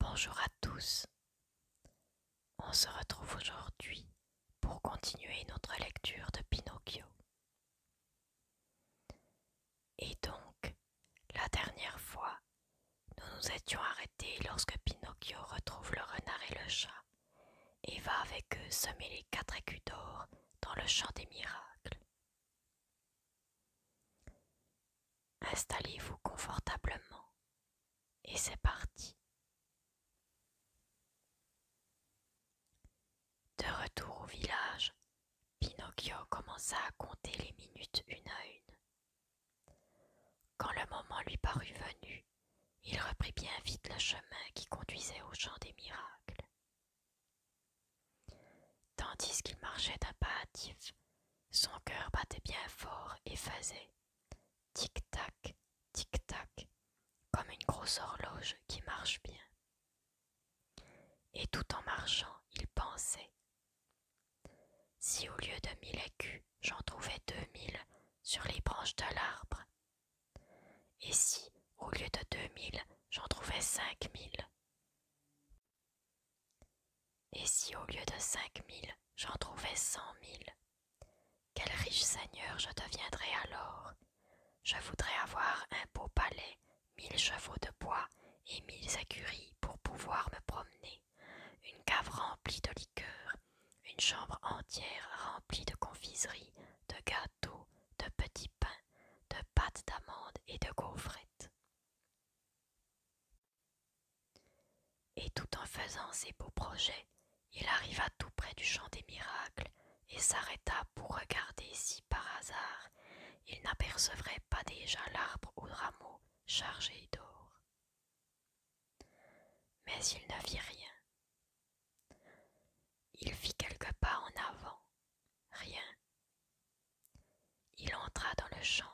Bonjour à tous. On se retrouve aujourd'hui pour continuer notre lecture de Pinocchio. Et donc, la dernière fois, nous nous étions arrêtés lorsque Pinocchio retrouve le renard et le chat et va avec eux semer les quatre écus d'or dans le champ des miracles. Installez-vous confortablement et c'est parti. De retour au village, Pinocchio commença à compter les minutes une à une. Quand le moment lui parut venu, il reprit bien vite le chemin qui conduisait au champ des miracles. Tandis qu'il marchait d'un pas son cœur battait bien fort et faisait tic-tac, tic-tac, comme une grosse horloge qui marche bien. Et tout en marchant, il pensait Si au lieu de mille écus, j'en trouvais deux mille sur les branches de l'arbre, et si au lieu de deux mille, j'en trouvais cinq mille. Et si au lieu de cinq mille, j'en trouvais cent mille Quel riche seigneur je deviendrais alors Je voudrais avoir un beau palais, mille chevaux de bois et mille écuries pour pouvoir me promener, une cave remplie de liqueurs, une chambre entière remplie de confiseries, de gâteaux, de petits pains, de pâtes d'amandes et de gaufrettes. Et tout en faisant ses beaux projets, il arriva tout près du champ des miracles et s'arrêta pour regarder si par hasard il n'apercevrait pas déjà l'arbre aux rameaux chargés d'or. Mais il ne vit rien. Il fit quelques pas en avant, rien. Il entra dans le champ,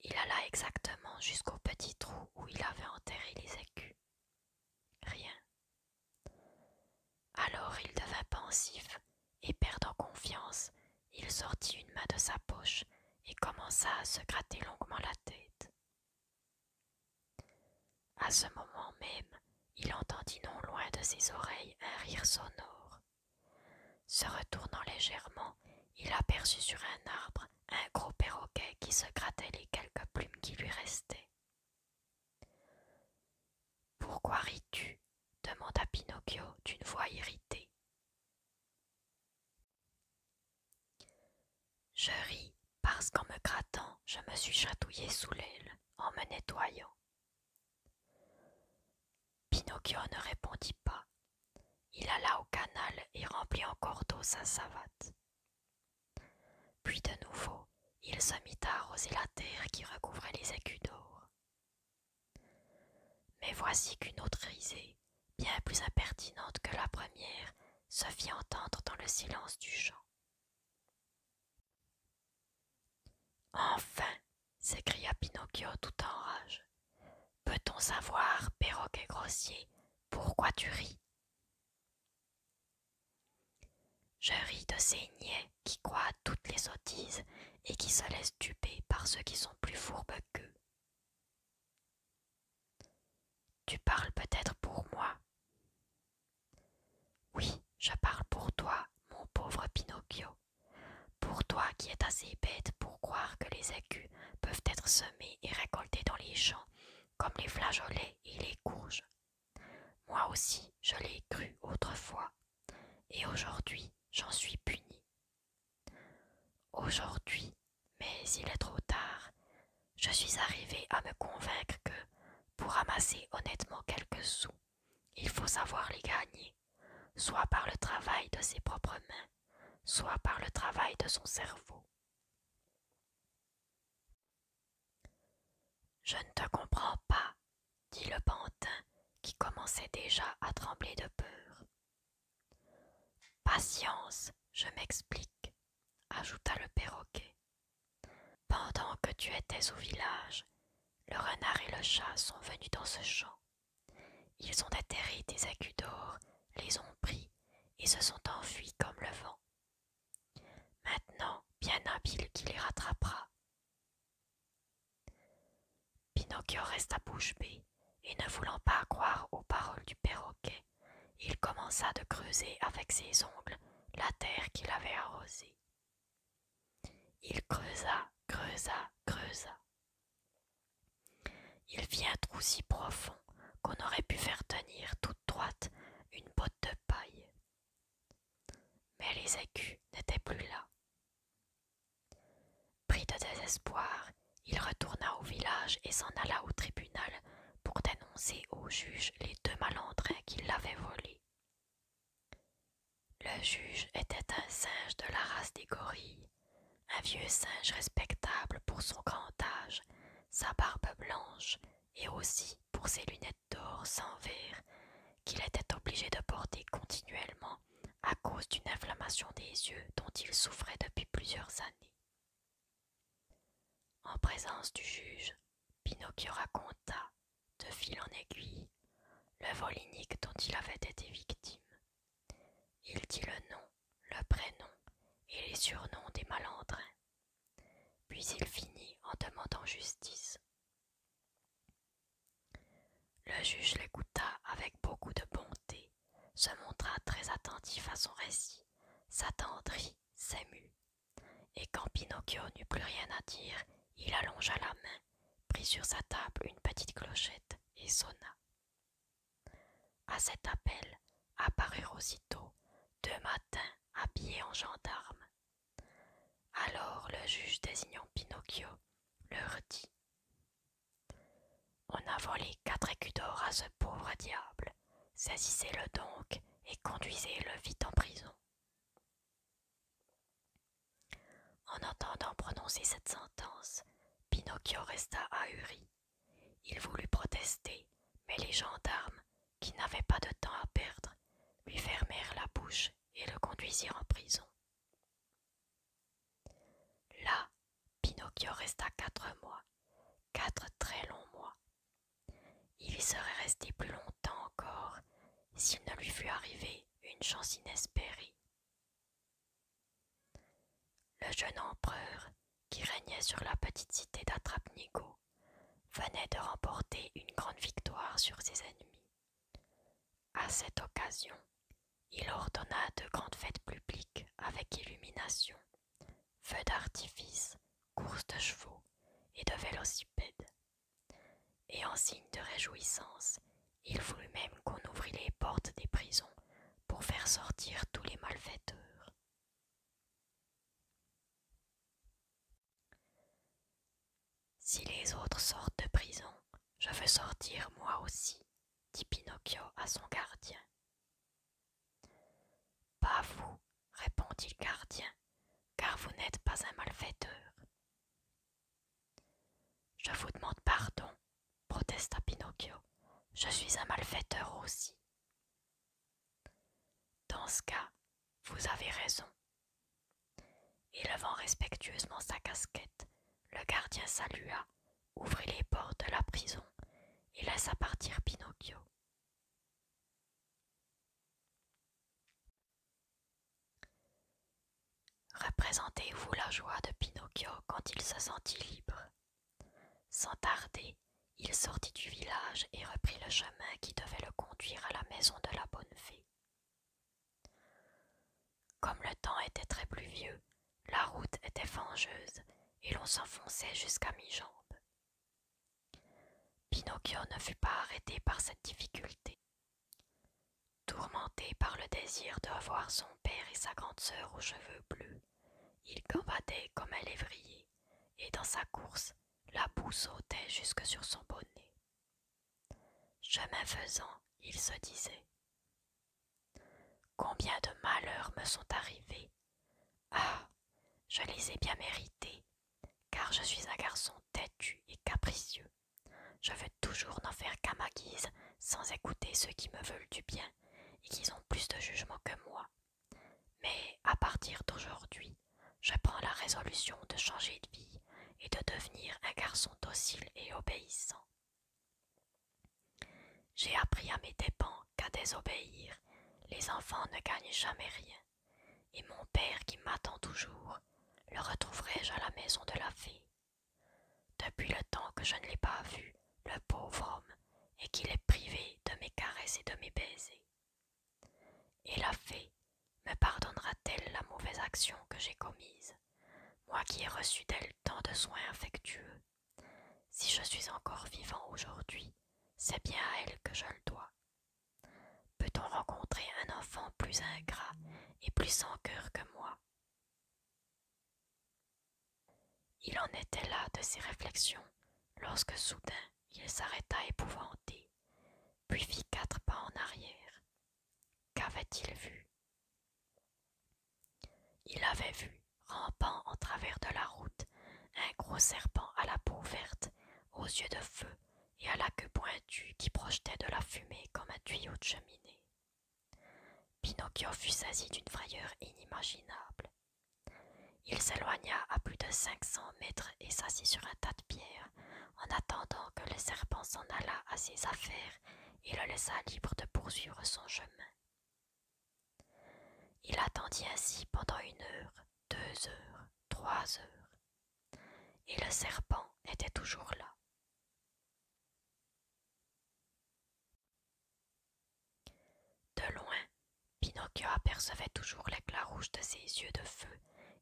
il alla exactement jusqu'au petit trou où il avait enterré les écus. Rien. Alors il devint pensif, et perdant confiance, il sortit une main de sa poche et commença à se gratter longuement la tête. À ce moment même, il entendit non loin de ses oreilles un rire sonore. Se retournant légèrement, il aperçut sur un arbre un gros perroquet qui se grattait les quelques plumes qui lui restaient. Pourquoi ris-tu demanda Pinocchio d'une voix irritée. Je ris parce qu'en me grattant, je me suis chatouillé sous l'aile en me nettoyant. Pinocchio ne répondit pas. Il alla au canal et remplit encore d'eau sa savate. Puis de nouveau, il se mit à arroser la terre qui recouvrait les écus d'or. Mais voici qu'une autre risée, bien plus impertinente que la première, se fit entendre dans le silence du champ. Enfin s'écria Pinocchio tout en rage. Peut-on savoir, perroquet grossier, pourquoi tu ris Je ris de ces niais qui croient à toutes les sottises et qui se laissent duper par ceux qui sont plus fourbes qu'eux. Tu parles peut-être pour moi. Oui, je parle pour toi, mon pauvre Pinocchio, pour toi qui es assez bête pour croire que les écus peuvent être semés et récoltés dans les champs, comme les flageolets et les courges. Moi aussi, je l'ai cru autrefois, et aujourd'hui, j'en suis puni. Aujourd'hui, mais il est trop tard, je suis arrivé à me convaincre que, pour amasser honnêtement quelques sous, il faut savoir les gagner soit par le travail de ses propres mains, soit par le travail de son cerveau. Je ne te comprends pas, dit le pantin, qui commençait déjà à trembler de peur. Patience, je m'explique, ajouta le perroquet. Pendant que tu étais au village, le renard et le chat sont venus dans ce champ. Ils ont atterri des aigus d'or, les ont pris et se sont enfuis comme le vent. Maintenant, bien habile qui les rattrapera. Pinocchio resta bouche bée et ne voulant pas croire aux paroles du perroquet, il commença de creuser avec ses ongles la terre qu'il avait arrosée. Il creusa, creusa, creusa. Il vit un trou si profond qu'on aurait pu faire tenir toute droite une botte de paille. Mais les écus n'étaient plus là. Pris de désespoir, il retourna au village et s'en alla au tribunal pour dénoncer au juge les deux malandrins qui l'avaient volé. Le juge était un singe de la race des gorilles, un vieux singe respectable pour son grand âge, sa barbe blanche et aussi pour ses lunettes d'or sans verre qu'il était obligé de porter continuellement à cause d'une inflammation des yeux dont il souffrait depuis plusieurs années. En présence du juge, Pinocchio raconta de fil en aiguille, le volinique dont il avait été victime. Il dit le nom, le prénom et les surnoms des malandrins. Puis il finit en demandant justice. Le juge l'écouta avec beaucoup de bonté, se montra très attentif à son récit, s'attendrit, s'émut, et quand Pinocchio n'eut plus rien à dire, il allongea la main prit sur sa table une petite clochette et sonna. À cet appel apparurent aussitôt deux matins habillés en gendarmes. Alors le juge désignant Pinocchio leur dit On a volé quatre écus d'or à ce pauvre diable. Saisissez-le donc et conduisez-le vite en prison. En entendant prononcer cette sentence, Pinocchio resta ahuri. Il voulut protester, mais les gendarmes, qui n'avaient pas de temps à perdre, lui fermèrent la bouche et le conduisirent en prison. Là, Pinocchio resta quatre mois, quatre très longs mois. Il y serait resté plus longtemps encore s'il ne lui fut arrivé une chance inespérée. Le jeune empereur, qui régnait sur la petite cité d'Atrapnigo, venait de remporter une grande victoire sur ses ennemis. À cette occasion, il ordonna de grandes fêtes publiques avec illumination, feux d'artifice, courses de chevaux et de vélocipèdes. Et en signe de réjouissance, il voulut même qu'on ouvrît les portes des prisons pour faire sortir tous les malfaiteurs. Si les autres sortent de prison, je veux sortir moi aussi, dit Pinocchio à son gardien. Pas vous, répondit le gardien, car vous n'êtes pas un malfaiteur. Je vous demande pardon, protesta Pinocchio. Je suis un malfaiteur aussi. Dans ce cas, vous avez raison. Élevant respectueusement sa casquette, le gardien salua, ouvrit les portes de la prison et laissa partir Pinocchio. Représentez-vous la joie de Pinocchio quand il se sentit libre. Sans tarder, il sortit du village et reprit le chemin qui devait le conduire à la maison de la bonne fée. Comme le temps était très pluvieux, la route était fangeuse et l'on s'enfonçait jusqu'à mi-jambe. Pinocchio ne fut pas arrêté par cette difficulté. Tourmenté par le désir de revoir son père et sa grande sœur aux cheveux bleus, il gambadait comme un lévrier, et dans sa course, la boue sautait jusque sur son bonnet. Chemin faisant, il se disait Combien de malheurs me sont arrivés Ah Je les ai bien mérités, car je suis un garçon têtu et capricieux. Je veux toujours n'en faire qu'à ma guise, sans écouter ceux qui me veulent du bien et qui ont plus de jugement que moi. Mais à partir d'aujourd'hui, je prends la résolution de changer de vie et de devenir un garçon docile et obéissant. J'ai appris à mes dépens qu'à désobéir, les enfants ne gagnent jamais rien, et mon père qui m'attend toujours le retrouverai-je à la maison de la fée Depuis le temps que je ne l'ai pas vu, le pauvre homme, et qu'il est privé de mes caresses et de mes baisers. Et la fée me pardonnera-t-elle la mauvaise action que j'ai commise, moi qui ai reçu d'elle tant de soins affectueux Si je suis encore vivant aujourd'hui, c'est bien à elle que je le dois peut-on rencontrer un enfant plus ingrat et plus sans cœur que moi Il en était là de ses réflexions lorsque soudain il s'arrêta épouvanté, puis fit quatre pas en arrière. Qu'avait-il vu Il avait vu, rampant en travers de la route, un gros serpent à la peau verte, aux yeux de feu, et à la queue pointue qui projetait de la fumée comme un tuyau de cheminée. Pinocchio fut saisi d'une frayeur inimaginable. Il s'éloigna à plus de cinq cents mètres et s'assit sur un tas de pierres, en attendant que le serpent s'en allât à ses affaires et le laissa libre de poursuivre son chemin. Il attendit ainsi pendant une heure, deux heures, trois heures, et le serpent était toujours là. De loin, Pinocchio apercevait toujours l'éclat rouge de ses yeux de feu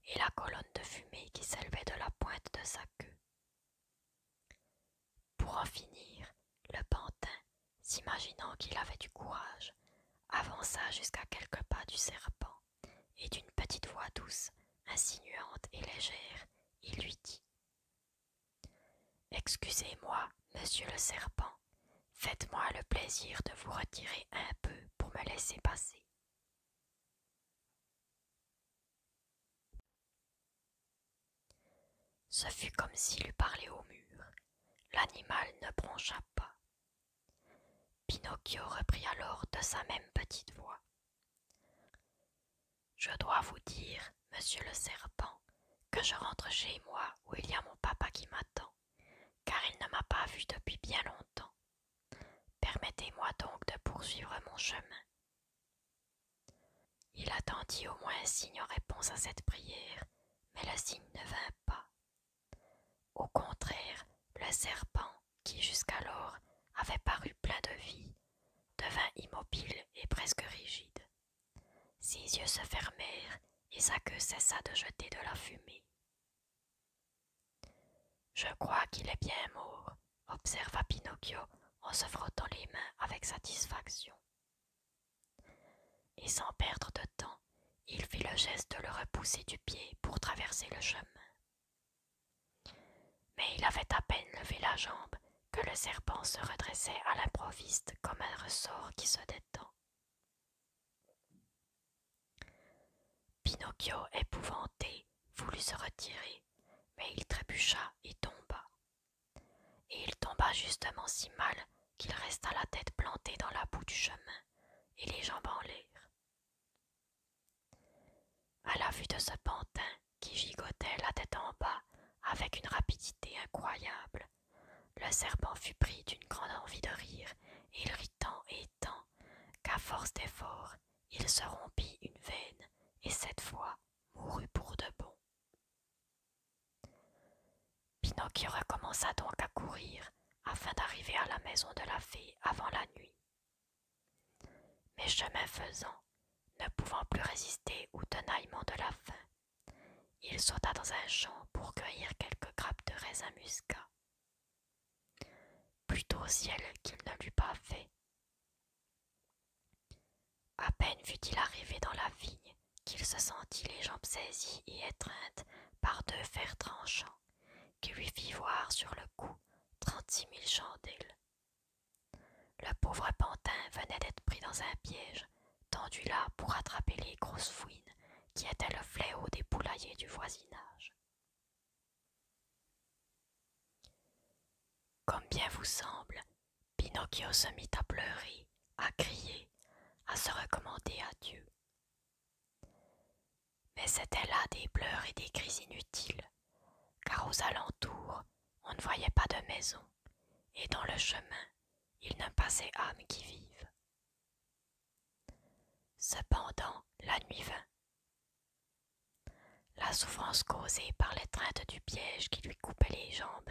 et la colonne de fumée qui s'élevait de la pointe de sa queue. Pour en finir, le pantin, s'imaginant qu'il avait du courage, avança jusqu'à quelques pas du serpent et d'une petite voix douce, insinuante et légère, il lui dit Excusez-moi, monsieur le serpent, faites-moi le plaisir de vous retirer un peu pour me laisser passer. Ce fut comme s'il eût parlé au mur. L'animal ne broncha pas. Pinocchio reprit alors de sa même petite voix. Je dois vous dire, monsieur le serpent, que je rentre chez moi où il y a mon papa qui m'attend, car il ne m'a pas vu depuis bien longtemps. Permettez-moi donc de poursuivre mon chemin. Il attendit au moins un signe en réponse à cette prière, mais le signe ne vint pas. Au contraire, le serpent, qui jusqu'alors avait paru plein de vie, devint immobile et presque rigide. Ses yeux se fermèrent et sa queue cessa de jeter de la fumée. Je crois qu'il est bien mort, observa Pinocchio en se frottant les mains avec satisfaction. Et sans perdre de temps, il fit le geste de le repousser du pied pour traverser le chemin. Mais il avait à peine levé la jambe que le serpent se redressait à l'improviste comme un ressort qui se détend. Pinocchio, épouvanté, voulut se retirer, mais il trébucha et tomba. Et il tomba justement si mal qu'il resta la tête plantée dans la boue du chemin et les jambes en l'air. À la vue de ce pantin qui gigotait la tête en bas avec une rapidité incroyable, le serpent fut pris d'une grande envie de rire, et il rit tant et tant qu'à force d'efforts, il se rompit une veine et cette fois mourut pour de bon. Pinocchio recommença donc à courir afin d'arriver à la maison de la fée avant la nuit. Mais chemin faisant, ne pouvant plus résister au tenaillement de la faim, il sauta dans un champ pour cueillir quelques grappes de raisin muscat. Plutôt au ciel qu'il ne l'eût pas fait. À peine fut-il arrivé dans la vigne qu'il se sentit les jambes saisies et étreintes par deux fers tranchants qui lui fit voir sur le cou trente-six mille chandelles. Le pauvre pantin venait d'être pris dans un piège, tendu là pour attraper les grosses fouines qui étaient le fléau des poulaillers du voisinage. Comme bien vous semble, Pinocchio se mit à pleurer, à crier, à se recommander à Dieu mais c'était là des pleurs et des cris inutiles, car aux alentours on ne voyait pas de maison, et dans le chemin il ne passait âme qui vivent. Cependant la nuit vint. La souffrance causée par l'étreinte du piège qui lui coupait les jambes,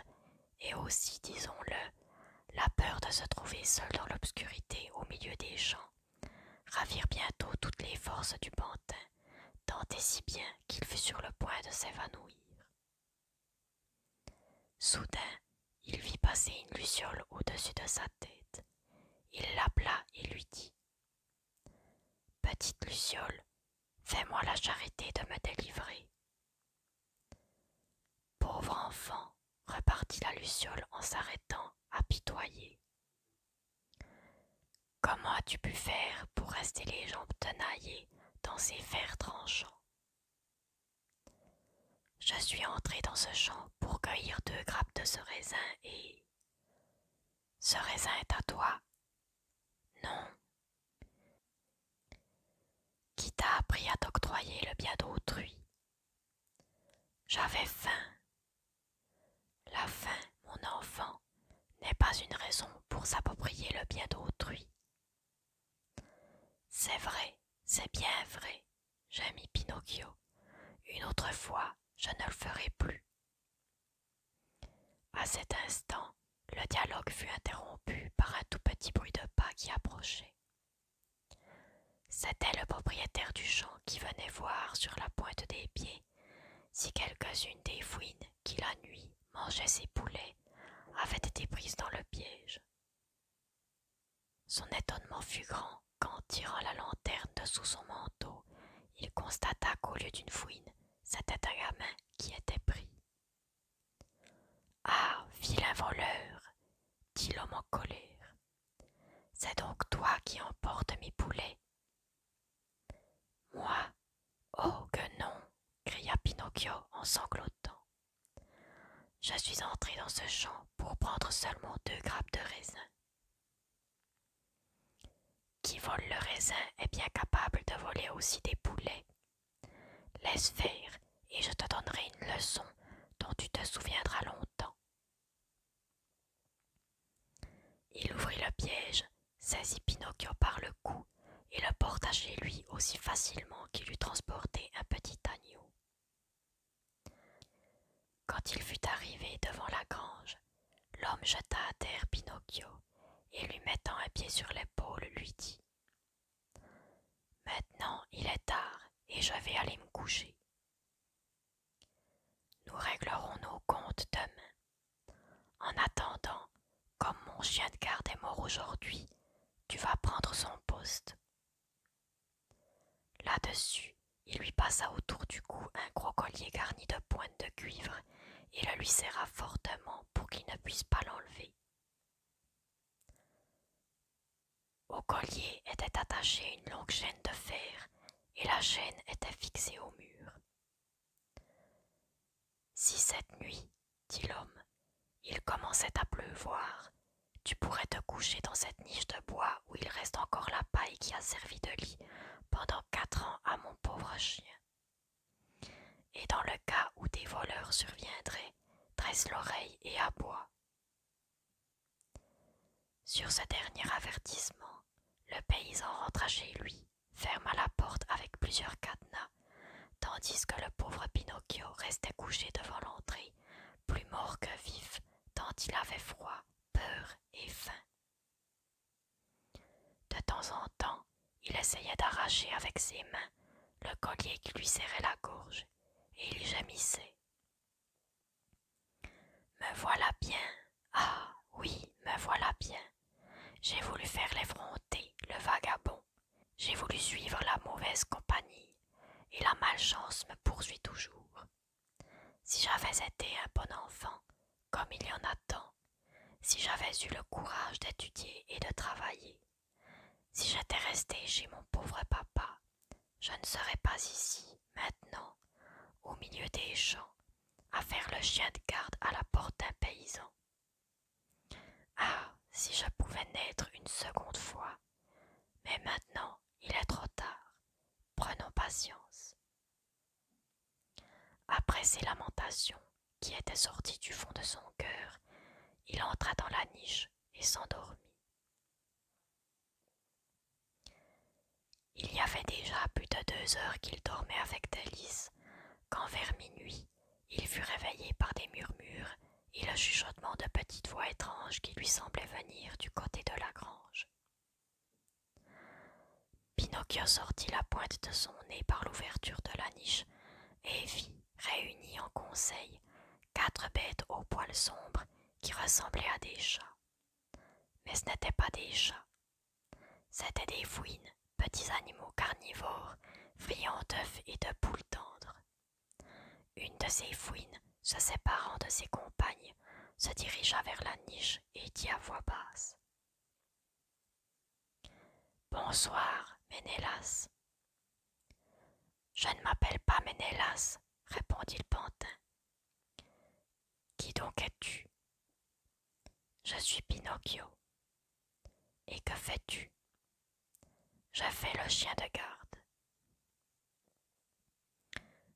et aussi, disons-le, la peur de se trouver seul dans l'obscurité au milieu des champs, ravirent bientôt toutes les forces du pantin, tant et si bien qu'il fut sur le point de s'évanouir. Soudain, il vit passer une luciole au-dessus de sa tête. Il l'appela et lui dit Petite luciole, fais-moi la charité de me délivrer. Pauvre enfant, repartit la luciole en s'arrêtant, pitoyer. Comment as-tu pu faire pour rester les jambes tenaillées dans ces fers tranchants Je suis entré dans ce champ pour cueillir deux grappes de ce raisin et. Ce raisin est à toi Non. Qui t'a appris à t'octroyer le bien d'autrui J'avais faim la faim, mon enfant, n'est pas une raison pour s'approprier le bien d'autrui. C'est vrai, c'est bien vrai, gémit Pinocchio. Une autre fois, je ne le ferai plus. À cet instant, le dialogue fut interrompu par un tout petit bruit de pas qui approchait. C'était le propriétaire du champ qui venait voir sur la pointe des pieds si quelques-unes des fouines qui la nuit mangeaient ses poulets avaient été prises dans le piège. Son étonnement fut grand quand, tirant la lanterne de sous son manteau, il constata qu'au lieu d'une fouine, c'était un gamin qui était pris. Ah, vilain voleur dit l'homme en colère. C'est donc toi qui emportes mes poulets moi Oh que non cria Pinocchio en sanglotant. Je suis entré dans ce champ pour prendre seulement deux grappes de raisin. Qui vole le raisin est bien capable de voler aussi des poulets. Laisse faire et je te donnerai une leçon dont tu te souviendras longtemps. Il ouvrit le piège, saisit Pinocchio par le cou et le porta chez lui aussi facilement qu'il eût transporté un petit agneau. Quand il fut arrivé devant la grange, l'homme jeta à terre Pinocchio et lui mettant un pied sur l'épaule lui dit Maintenant il est tard et je vais aller me coucher. Nous réglerons nos comptes demain. En attendant, comme mon chien de garde est mort aujourd'hui, tu vas prendre son poste. Là-dessus, il lui passa autour du cou un gros collier garni de pointes de cuivre et le lui serra fortement pour qu'il ne puisse pas l'enlever. Au collier était attachée une longue chaîne de fer et la chaîne était fixée au mur. Si cette nuit, dit l'homme, il commençait à pleuvoir, tu pourrais te coucher dans cette niche de bois où il reste encore la paille qui a servi de lit pendant quatre ans à mon pauvre chien. Et dans le cas où des voleurs surviendraient, dresse l'oreille et aboie. Sur ce dernier avertissement, le paysan rentra chez lui, ferma la porte avec plusieurs cadenas, tandis que le pauvre Pinocchio restait couché devant l'entrée, plus mort que vif, tant il avait froid, peur et faim. De temps en temps, il essayait d'arracher avec ses mains le collier qui lui serrait la gorge, et il gémissait. Me voilà bien. Ah oui, me voilà bien. J'ai voulu faire l'effronté, le vagabond. J'ai voulu suivre la mauvaise compagnie, et la malchance me poursuit toujours. Si j'avais été un bon enfant, comme il y en a tant, si j'avais eu le courage d'étudier et de travailler, si j'étais resté chez mon pauvre papa, je ne serais pas ici, maintenant, au milieu des champs, à faire le chien de garde à la porte d'un paysan. Ah, si je pouvais naître une seconde fois. Mais maintenant, il est trop tard. Prenons patience. Après ces lamentations qui étaient sorties du fond de son cœur, il entra dans la niche et s'endormit. Il y avait déjà plus de deux heures qu'il dormait avec d'alice quand vers minuit il fut réveillé par des murmures et le chuchotement de petites voix étranges qui lui semblaient venir du côté de la grange. Pinocchio sortit la pointe de son nez par l'ouverture de la niche et vit, réunis en conseil, quatre bêtes aux poils sombres qui ressemblaient à des chats. Mais ce n'étaient pas des chats. C'étaient des fouines, petits animaux carnivores, friands d'œufs et de poules tendres. Une de ces fouines, se séparant de ses compagnes, se dirigea vers la niche et dit à voix basse Bonsoir, Ménélas. Je ne m'appelle pas Ménélas, répondit le pantin, qui donc es-tu Je suis Pinocchio. Et que fais-tu Je fais le chien de garde.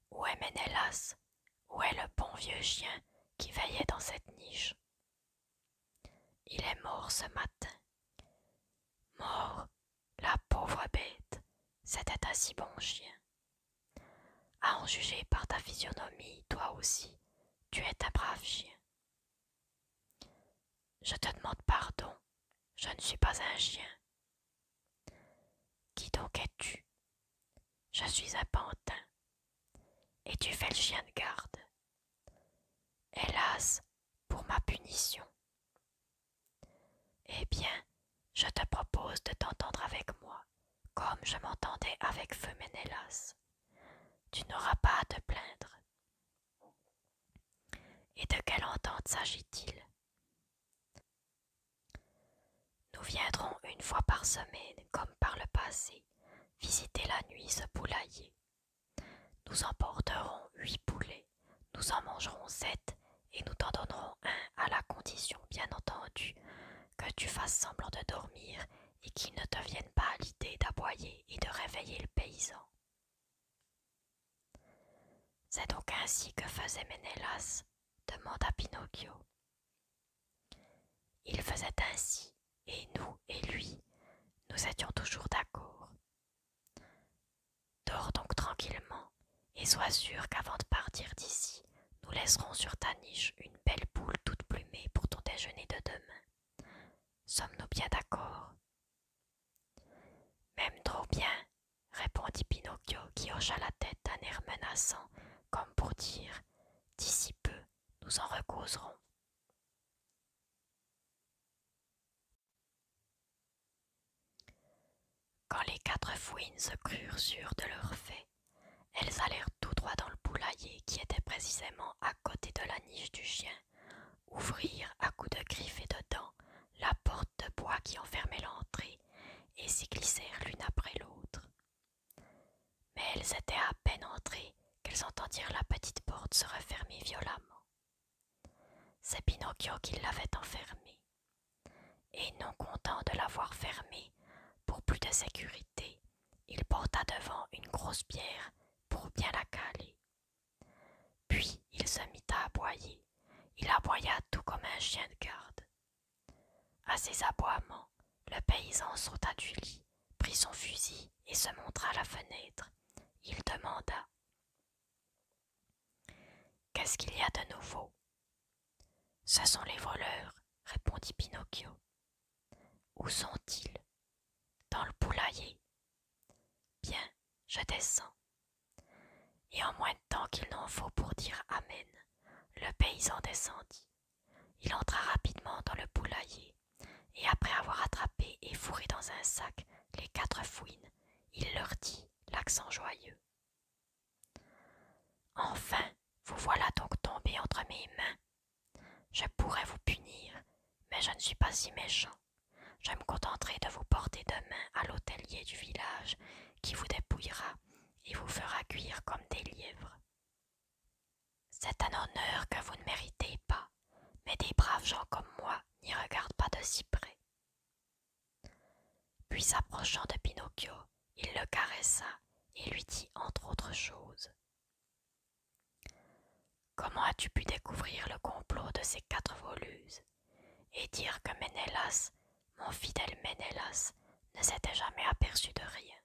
Où est Ménélas Où est le bon vieux chien qui veillait dans cette niche Il est mort ce matin. Mort, la pauvre bête, c'était un si bon chien. À en juger par ta physionomie, toi aussi, tu es un brave chien. Je te demande pardon, je ne suis pas un chien. Qui donc es-tu Je suis un pantin. Et tu fais le chien de garde. Hélas, pour ma punition. Eh bien, je te propose de t'entendre avec moi, comme je m'entendais avec feu Ménélas. Tu n'auras pas à te plaindre. Et de quelle entente s'agit-il Nous viendrons une fois par semaine, comme par le passé, visiter la nuit ce poulailler. Nous emporterons huit poulets, nous en mangerons sept et nous t'en donnerons un à la condition, bien entendu, que tu fasses semblant de dormir et qu'il ne te vienne pas à l'idée d'aboyer et de réveiller le paysan. C'est donc ainsi que faisait Ménélas demanda Pinocchio. Il faisait ainsi, et nous et lui, nous étions toujours d'accord. Dors donc tranquillement, et sois sûr qu'avant de partir d'ici, nous laisserons sur ta niche une belle boule toute plumée pour ton déjeuner de demain. Sommes-nous bien d'accord Même trop bien, répondit Pinocchio qui hocha la tête d'un air menaçant, comme pour dire D'ici peu, nous en recauserons. Quand les quatre fouines se crurent sûres de leur fait, elles allèrent tout droit dans le poulailler qui était précisément à côté de la niche du chien, ouvrirent à coups de griffes et de dents la porte de bois qui enfermait l'entrée et s'y glissèrent l'une après l'autre. Mais elles étaient à peine entrées qu'elles entendirent la petite porte se refermer violemment. C'est Pinocchio qui l'avait enfermée. Et non content de l'avoir fermée pour plus de sécurité, il porta devant une grosse pierre pour bien la caler. Puis il se mit à aboyer. Il aboya tout comme un chien de garde. À ses aboiements, le paysan sauta du lit, prit son fusil et se montra à la fenêtre. Il demanda Qu'est-ce qu'il y a de nouveau ce sont les voleurs, répondit Pinocchio. Où sont-ils Dans le poulailler. Bien, je descends. Et en moins de temps qu'il n'en faut pour dire Amen, le paysan descendit. Il entra rapidement dans le poulailler, et après avoir attrapé et fourré dans un sac les quatre fouines, il leur dit, l'accent joyeux Enfin, vous voilà donc tombé entre mes mains. Je pourrais vous punir, mais je ne suis pas si méchant. Je me contenterai de vous porter demain à l'hôtelier du village qui vous dépouillera et vous fera cuire comme des lièvres. C'est un honneur que vous ne méritez pas, mais des braves gens comme moi n'y regardent pas de si près. Puis s'approchant de Pinocchio, il le caressa et lui dit entre autres choses Comment as-tu pu découvrir le complot de ces quatre voluses et dire que Ménélas, mon fidèle Ménélas, ne s'était jamais aperçu de rien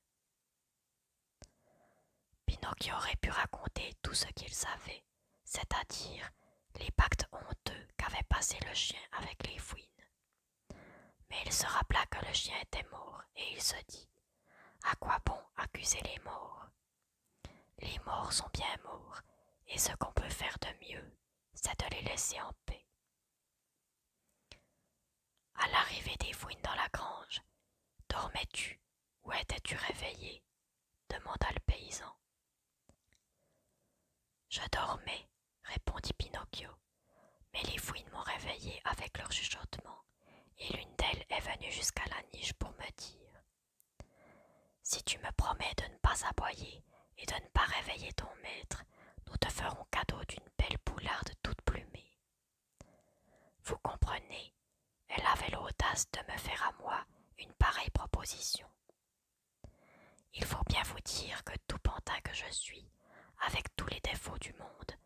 Pinocchio aurait pu raconter tout ce qu'il savait, c'est-à-dire les pactes honteux qu'avait passé le chien avec les fouines, mais il se rappela que le chien était mort, et il se dit À quoi bon accuser les morts Les morts sont bien morts, et ce qu'on peut faire de mieux, c'est de les laisser en paix. À l'arrivée des fouines dans la grange, dormais-tu ou étais-tu réveillé demanda le paysan. Je dormais, répondit Pinocchio. Mais les fouines m'ont réveillé avec leur chuchotement, et l'une d'elles est venue jusqu'à la niche pour me dire Si tu me promets de ne pas aboyer et de ne pas réveiller ton maître, nous te ferons cadeau d'une belle poularde toute plumée. Vous comprenez, elle avait l'audace de me faire à moi une pareille proposition. Il faut bien vous dire que tout pantin que je suis, avec tous les défauts du monde,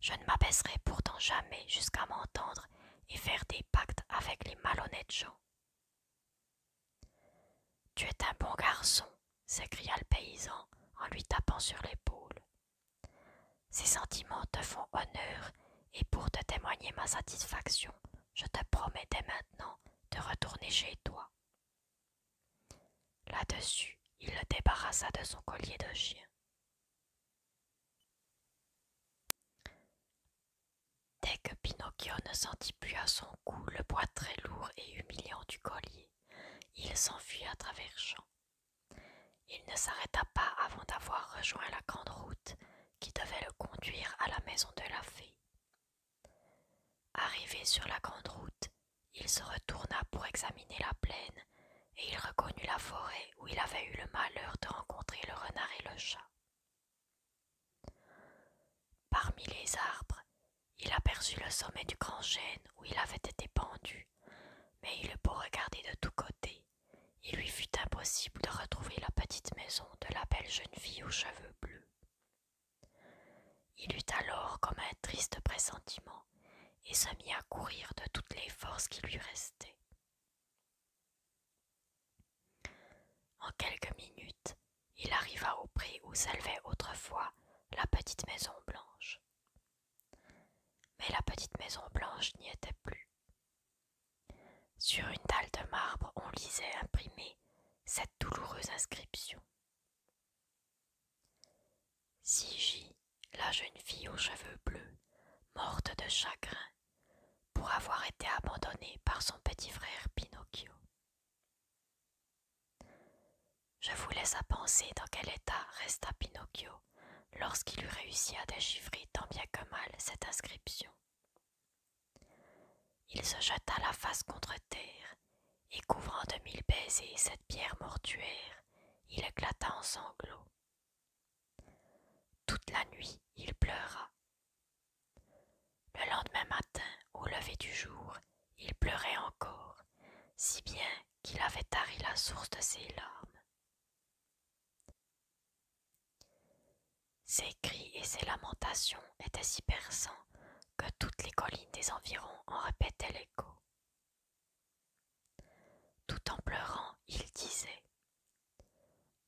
je ne m'abaisserai pourtant jamais jusqu'à m'entendre et faire des pactes avec les malhonnêtes gens. Tu es un bon garçon, s'écria le paysan en lui tapant sur l'épaule. Ces sentiments te font honneur, et pour te témoigner ma satisfaction, je te promets dès maintenant de retourner chez toi. Là-dessus, il le débarrassa de son collier de chien. Dès que Pinocchio ne sentit plus à son cou le poids très lourd et humiliant du collier, il s'enfuit à travers champs. Il ne s'arrêta pas avant d'avoir rejoint la grande route qui devait le conduire à la maison de la fée, Arrivé sur la grande route, il se retourna pour examiner la plaine, et il reconnut la forêt où il avait eu le malheur de rencontrer le renard et le chat. Parmi les arbres, il aperçut le sommet du grand chêne où il avait été pendu, mais il eut beau regarder de tous côtés, il lui fut impossible de retrouver la petite maison de la belle jeune fille aux cheveux bleus. Il eut alors comme un triste pressentiment et se mit à courir de toutes les forces qui lui restaient. En quelques minutes, il arriva au prix où s'élevait autrefois la petite maison blanche. Mais la petite maison blanche n'y était plus. Sur une dalle de marbre, on lisait imprimée cette douloureuse inscription. Sigi, la jeune fille aux cheveux bleus, morte de chagrin pour avoir été abandonnée par son petit frère Pinocchio. Je vous laisse à penser dans quel état resta Pinocchio lorsqu'il eut réussi à déchiffrer tant bien que mal cette inscription il se jeta la face contre terre, et couvrant de mille baisers cette pierre mortuaire, il éclata en sanglots. Toute la nuit il pleura. Le lendemain matin, au lever du jour, il pleurait encore, si bien qu'il avait tari la source de ses larmes. Ses cris et ses lamentations étaient si perçants que toutes les collines des environs en répétaient l'écho. Tout en pleurant, il disait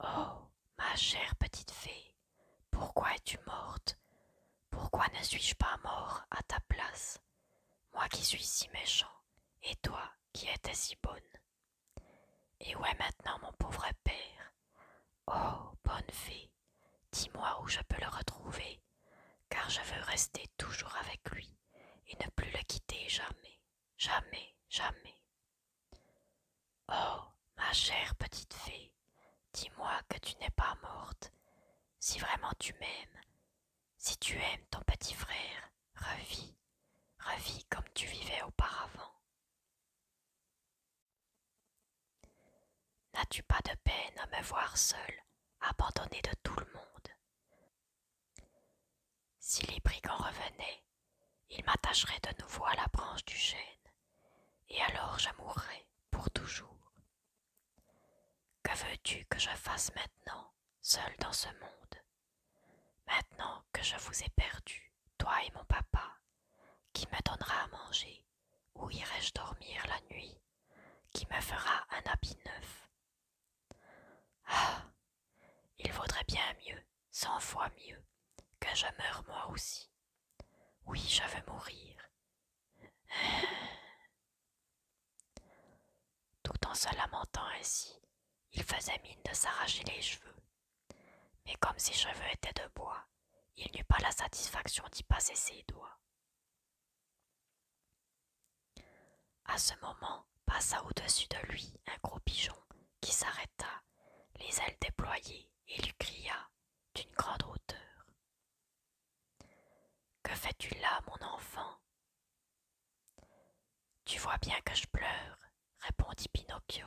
Oh, ma chère petite fée, pourquoi es-tu morte Pourquoi ne suis-je pas mort à ta place Moi qui suis si méchant, et toi qui étais si bonne. Et où est maintenant mon pauvre père Oh, bonne fée, Dis-moi où je peux le retrouver, car je veux rester toujours avec lui et ne plus le quitter jamais, jamais, jamais. Oh, ma chère petite fée, dis-moi que tu n'es pas morte. Si vraiment tu m'aimes, si tu aimes ton petit frère, revis, revis comme tu vivais auparavant. N'as-tu pas de peine à me voir seule, abandonnée de tout le monde Si les brigands revenaient, ils m'attacheraient de nouveau à la branche du chêne, et alors je mourrais pour toujours. Que veux-tu que je fasse maintenant, seule dans ce monde Maintenant que je vous ai perdu, toi et mon papa, qui me donnera à manger où irai-je dormir la nuit Qui me fera un habit neuf Ah Il vaudrait bien mieux, cent fois mieux, que je meure moi aussi. Oui, je veux mourir. Tout en se lamentant ainsi, il faisait mine de s'arracher les cheveux. Mais comme ses cheveux étaient de bois, il n'eut pas la satisfaction d'y passer ses doigts. À ce moment passa au-dessus de lui un gros pigeon qui s'arrêta, les ailes déployées, et lui cria d'une grande hauteur. Que fais-tu là, mon enfant Tu vois bien que je pleure, répondit Pinocchio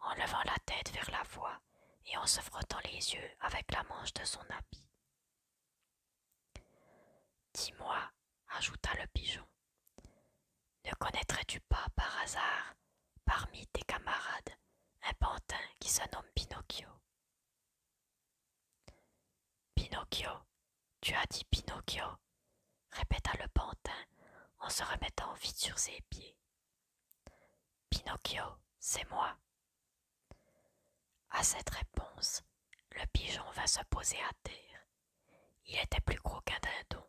en levant la tête vers la voix et en se frottant les yeux avec la manche de son habit. Dis-moi, ajouta le pigeon, ne connaîtrais-tu pas par hasard, parmi tes camarades, un pantin qui se nomme Pinocchio Pinocchio, tu as dit Pinocchio, répéta le pantin en se remettant vite sur ses pieds. Pinocchio, c'est moi, à cette réponse, le pigeon vint se poser à terre. Il était plus gros qu'un dindon.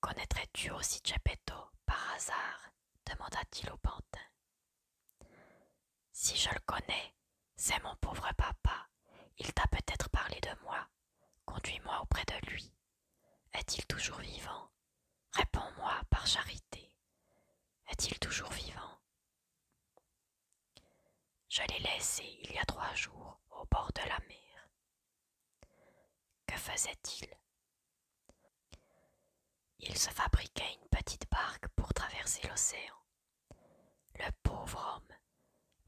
Connaîtrais-tu aussi Geppetto par hasard demanda-t-il au pantin. Si je le connais, c'est mon pauvre papa. Il t'a peut-être parlé de moi. Conduis-moi auprès de lui. Est-il toujours vivant Réponds-moi par charité. Est-il toujours vivant Je l'ai laissé il y a trois jours au bord de la mer. Que faisait-il Il se fabriquait une petite barque pour traverser l'océan. Le pauvre homme,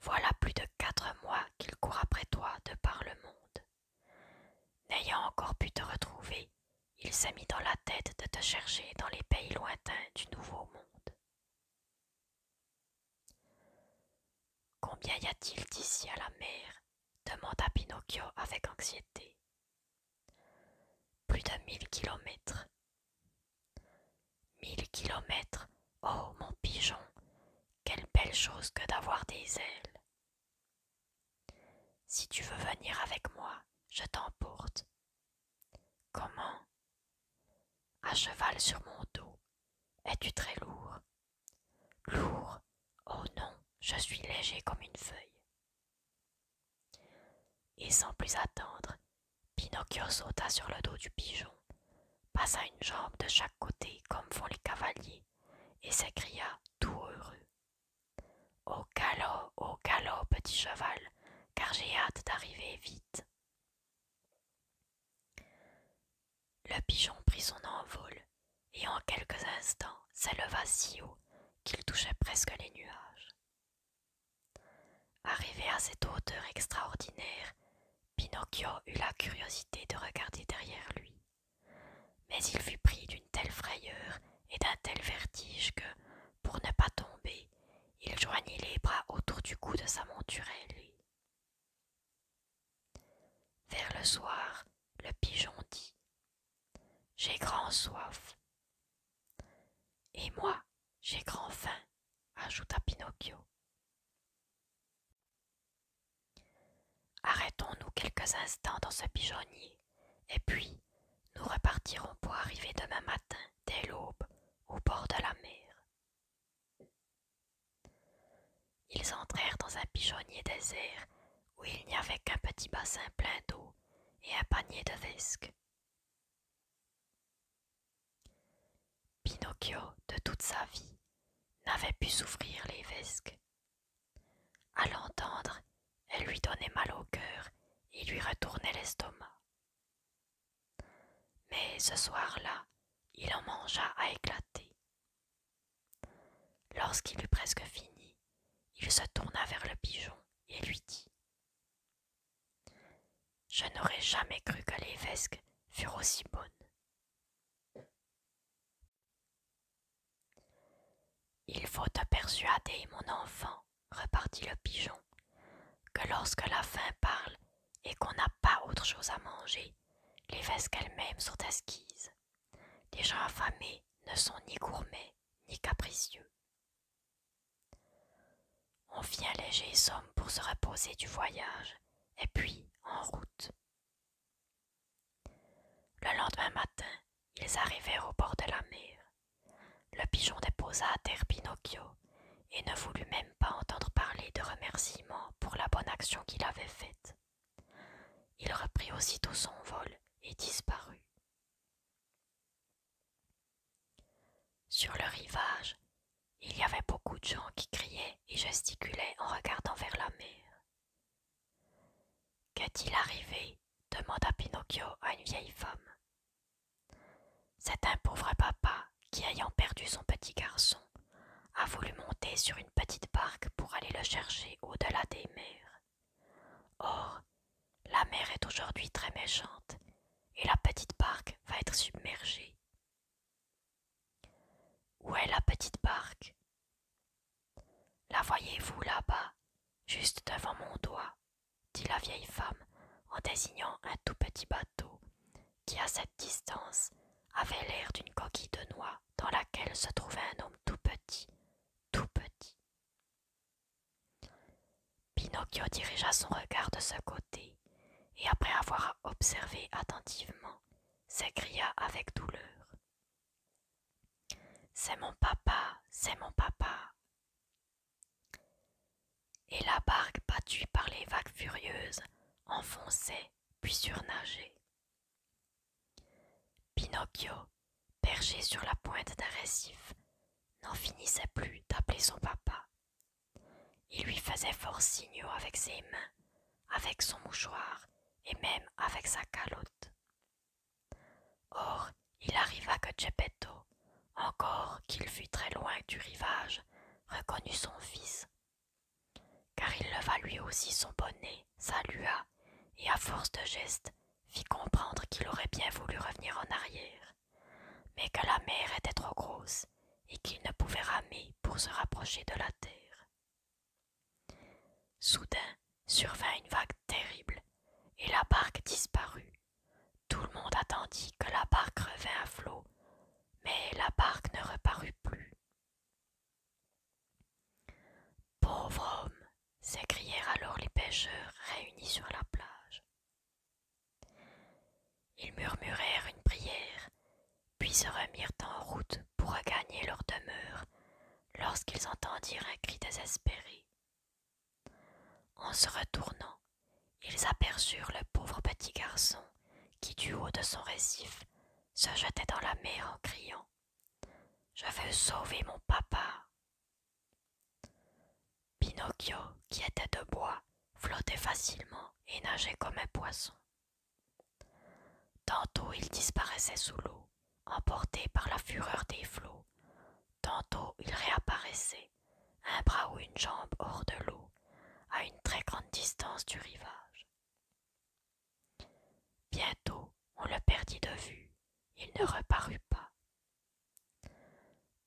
voilà plus de quatre mois qu'il court après toi de par le monde. N'ayant encore pu te retrouver, il s'est mis dans la tête de te chercher dans les pays lointains du Nouveau Monde. Combien y a-t-il d'ici à la mer demanda Pinocchio avec anxiété. Plus de mille kilomètres. Mille kilomètres Oh, mon pigeon, quelle belle chose que d'avoir des ailes si tu veux venir avec moi, je t'emporte. Comment À cheval sur mon dos. Es-tu très lourd Lourd Oh non, je suis léger comme une feuille. Et sans plus attendre, Pinocchio sauta sur le dos du pigeon, passa une jambe de chaque côté comme font les cavaliers, et s'écria tout heureux. Au galop, au galop, petit cheval, car j'ai hâte d'arriver vite. Le pigeon prit son envol, et en quelques instants s'éleva si haut qu'il touchait presque les nuages. Arrivé à cette hauteur extraordinaire, Pinocchio eut la curiosité de regarder derrière lui. Mais il fut pris d'une telle frayeur et d'un tel vertige que, pour ne pas tomber, il joignit les bras autour du cou de sa monturelle. Vers le soir, le pigeon dit J'ai grand soif. Et moi, j'ai grand faim, ajouta Pinocchio. Arrêtons-nous quelques instants dans ce pigeonnier, et puis nous repartirons pour arriver demain matin, dès l'aube, au bord de la mer. Ils entrèrent dans un pigeonnier désert où il n'y avait qu'un petit bassin plein d'eau et un panier de vesques. Pinocchio, de toute sa vie, n'avait pu souffrir les vesques à l'entendre, elle lui donnait mal au cœur et lui retournait l'estomac. Mais ce soir-là, il en mangea à éclater. Lorsqu'il eut presque fini, il se tourna vers le pigeon et lui dit Je n'aurais jamais cru que les vesques furent aussi bonnes. Il faut te persuader, mon enfant, repartit le pigeon, que lorsque la faim parle et qu'on n'a pas autre chose à manger, les vesques elles-mêmes sont esquises. Les gens affamés ne sont ni gourmets ni capricieux. On fit un léger somme pour se reposer du voyage, et puis en route. Le lendemain matin, ils arrivèrent au bord de la mer. Le pigeon déposa à terre Pinocchio et ne voulut même pas entendre parler de remerciements pour la bonne action qu'il avait faite. Il reprit aussitôt son vol et disparut. Sur le rivage, il y avait beaucoup de gens qui criaient et gesticulaient en regardant vers la mer. Qu'est-il arrivé demanda Pinocchio à une vieille femme. C'est un pauvre papa qui, ayant perdu son petit garçon, a voulu monter sur une petite barque pour aller le chercher au-delà des mers. Or, la mer est aujourd'hui très méchante et la petite barque va être submergée. Où est la petite barque la voyez-vous là-bas, juste devant mon doigt dit la vieille femme en désignant un tout petit bateau qui, à cette distance, avait l'air d'une coquille de noix dans laquelle se trouvait un homme tout petit, tout petit. Pinocchio dirigea son regard de ce côté et, après avoir observé attentivement, s'écria avec douleur c'est mon papa, c'est mon papa. Et la barque battue par les vagues furieuses enfonçait puis surnageait. Pinocchio, perché sur la pointe d'un récif, n'en finissait plus d'appeler son papa. Il lui faisait fort signaux avec ses mains, avec son mouchoir et même avec sa calotte. Or, il arriva que Geppetto, encore qu'il fût très loin du rivage, reconnut son fils. Car il leva lui aussi son bonnet, salua, et à force de gestes, fit comprendre qu'il aurait bien voulu revenir en arrière, mais que la mer était trop grosse et qu'il ne pouvait ramer pour se rapprocher de la terre. Soudain survint une vague terrible, et la barque disparut. Tout le monde attendit que la barque revînt à flot, mais la barque ne reparut plus. Pauvre homme, s'écrièrent alors les pêcheurs réunis sur la plage. Ils murmurèrent une prière, puis se remirent en route pour regagner leur demeure, lorsqu'ils entendirent un cri désespéré. En se retournant, ils aperçurent le pauvre petit garçon qui, du haut de son récif, se jetait dans la mer en criant Je veux sauver mon papa. Pinocchio, qui était de bois, flottait facilement et nageait comme un poisson. Tantôt il disparaissait sous l'eau, emporté par la fureur des flots. Tantôt il réapparaissait, un bras ou une jambe hors de l'eau, à une très grande distance du rivage. Bientôt on le perdit de vue, il ne reparut pas.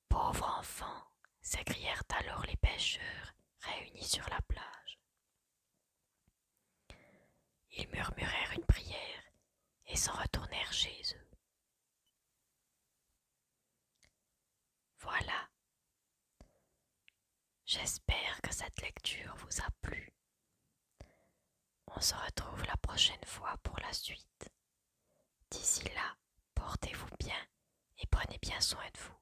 Pauvre enfant, s'écrièrent alors les pêcheurs réunis sur la plage. Ils murmurèrent une prière et s'en retournèrent chez eux. Voilà. J'espère que cette lecture vous a plu. On se retrouve la prochaine fois pour la suite. D'ici là, portez-vous bien et prenez bien soin de vous.